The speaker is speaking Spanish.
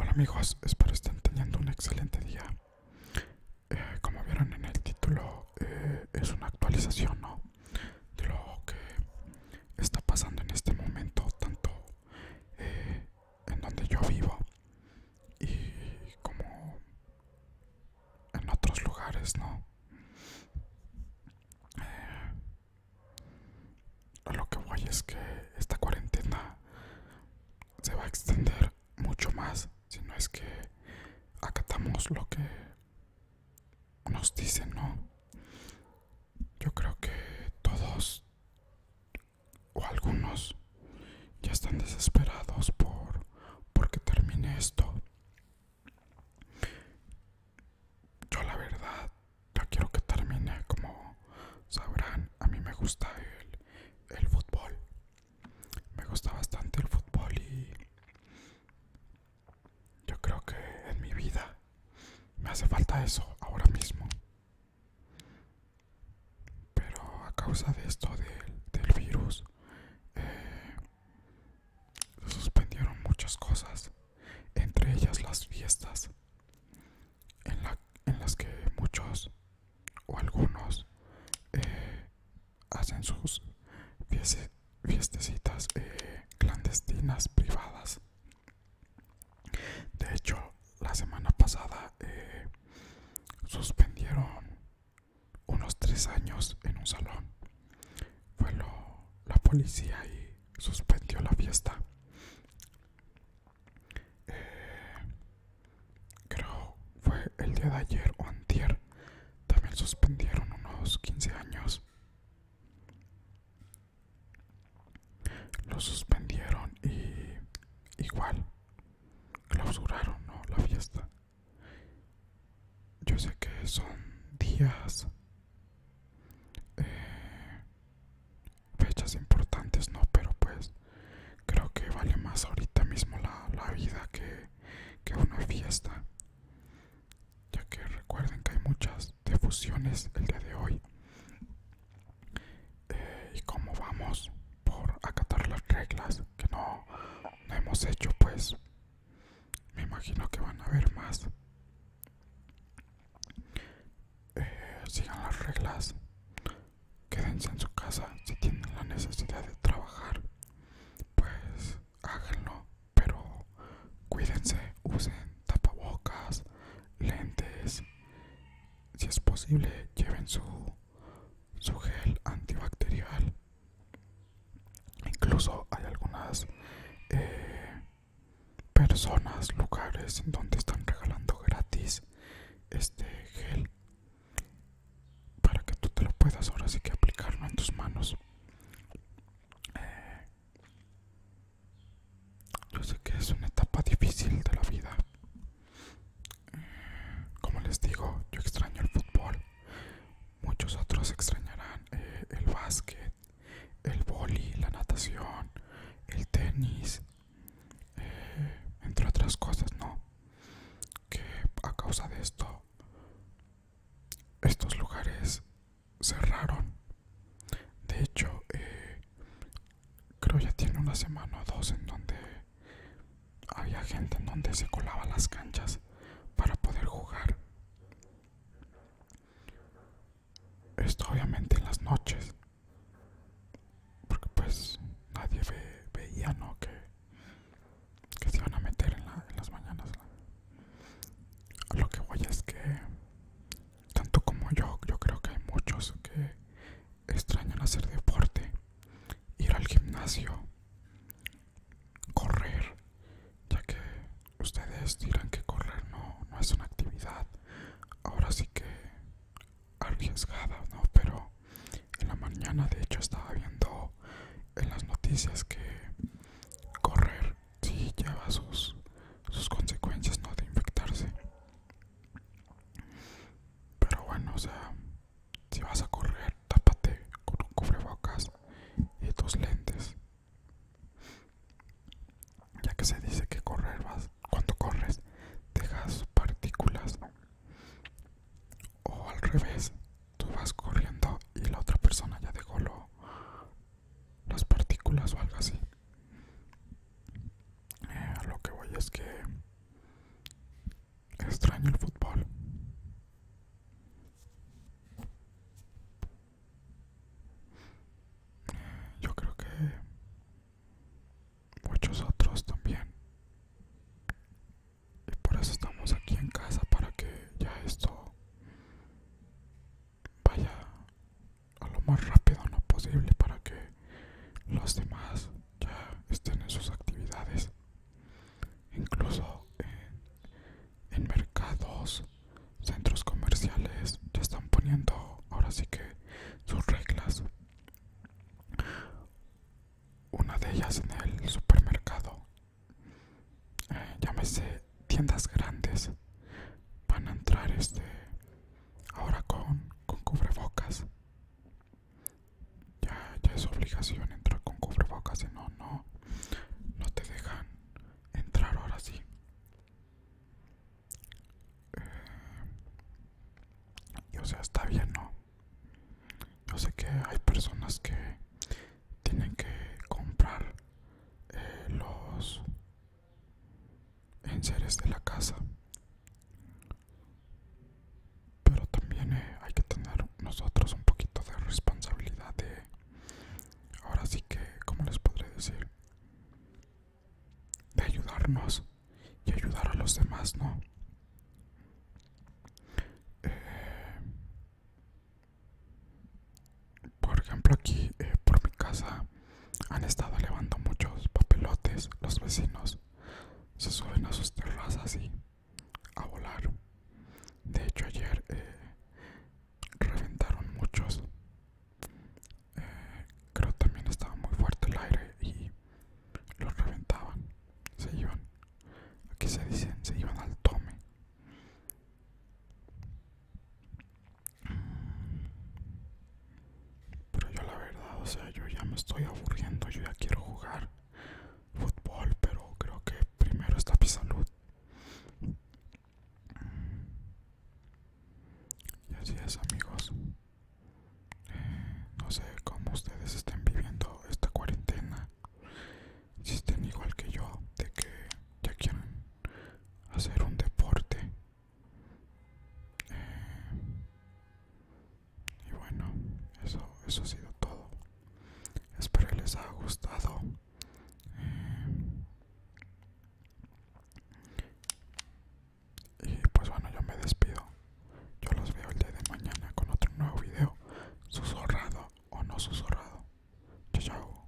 Hola amigos, espero estén teniendo un excelente día. Eh, como vieron en el título, eh, es una actualización de lo que está pasando en este momento, tanto eh, en donde yo vivo y como en otros lugares, ¿no? Eh, lo que voy es que esta cuarentena se va a extender mucho más si no es que acatamos lo que nos dicen, ¿no? Yo creo que todos o algunos ya están desesperados por porque termine esto. Yo la verdad, Yo quiero que termine como sabrán, a mí me gusta el, el fútbol. Me gusta bastante el fútbol y yo creo que en mi vida me hace falta eso ahora mismo pero a causa de esto del virus eh, suspendieron muchas cosas entre ellas las fiestas en, las que muchos o algunos eh, hacen sus fiestas fiestecitas eh, clandestinas privadas de hecho la semana pasada suspendieron unos tres años en un salón. Fue la policía y suspendió la fiesta. Eh, creo fue el día de ayer o antier. También suspendieron unos 15 años. Lo suspendieron y igual clausuraron ¿no? la fiesta. Yo sé que son días, eh, fechas importantes, ¿no? Pero pues creo que vale más ahorita mismo la, vida que, que una fiesta. Ya que recuerden que hay muchas defusiones el día de hoy. Eh, y como vamos por acatar las reglas que no, hemos hecho pues me imagino que van a haber más eh, sigan las reglas quédense en su casa si tienen la necesidad de trabajar pues háganlo pero cuídense usen tapabocas lentes si es posible lleven su, gel antibacterial incluso hay algunas eh, personas lugares donde están regalando gratis este gel para que tú te lo puedas ahora sí que aplicarlo en tus manos eh, yo sé que es una etapa difícil de la vida. Como les digo, yo extraño el fútbol. Muchos otros extrañarán eh, el básquet, el boli, la natación, el tenis, eh, entre otras cosas, ¿no? Que a causa de esto, estos lugares cerraron. De hecho, eh, creo ya tiene una semana o dos en donde había gente en donde se colaba las canchas para poder jugar. Esto obviamente en las noches. Porque pues nadie veía, ¿no? Que, que se iban a meter en, las mañanas. Lo que voy es que tanto como yo, yo creo que hay muchos que extrañan hacer deporte, ir al gimnasio, correr, ya que ustedes dirán que correr no, es una actividad, ahora sí que arriesgada, ¿no? Pero en la mañana de hecho estaba viendo en las noticias que correr si lleva sus, consecuencias, ¿no? De infectarse. Pero bueno, o sea, si vas a correr, tápate con un cubrebocas y tus lentes. Ya que se dice que correr vas, cuando corres, dejas partículas. O al revés, tú vas corriendo y la otra persona ya dejó lo, las partículas o algo así. a eh, lo que voy es que extraño el fútbol. Eh, yo creo que muchos otros también. Y por eso estamos aquí en casa para que ya esto vaya a lo más rápido no posible para que los demás ya estén en sus actividades incluso en, en mercados centros comerciales ya están poniendo ahora sí que sus reglas una de ellas en el supermercado me llámese tiendas grandes van a entrar este ahora con, con cubrebocas ya, ya es obligación entrar con cubrebocas si no no no te dejan entrar ahora sí eh, o sea está bien no yo sé que hay personas que tienen que comprar eh, los enseres de la casa pero también eh, hay que tener nosotros un poquito de responsabilidad de ahora sí que como les podré decir de ayudarnos y ayudar a los demás no eh, por ejemplo, aquí eh, por mi casa han estado elevando muchos papelotes. Los vecinos se suben a sus terrazas y a volar. De hecho, ayer eh, reventaron muchos. Eh, creo también estaba muy fuerte el aire y los reventaban. Se iban. Aquí se dicen, se iban al tome. Pero yo la verdad, o sea, yo ya me estoy aburriendo, yo ya quiero jugar fútbol, pero creo que primero está mi salud. Y así es amigos. Eh, no sé cómo ustedes estén viviendo esta cuarentena si igual que yo de que ya quieren hacer un deporte eh, y bueno eso eso ha sido todo espero les haya gustado eh, y pues bueno yo me despido yo los veo el día de mañana con otro nuevo video, susurrado o no susurrado. Chao,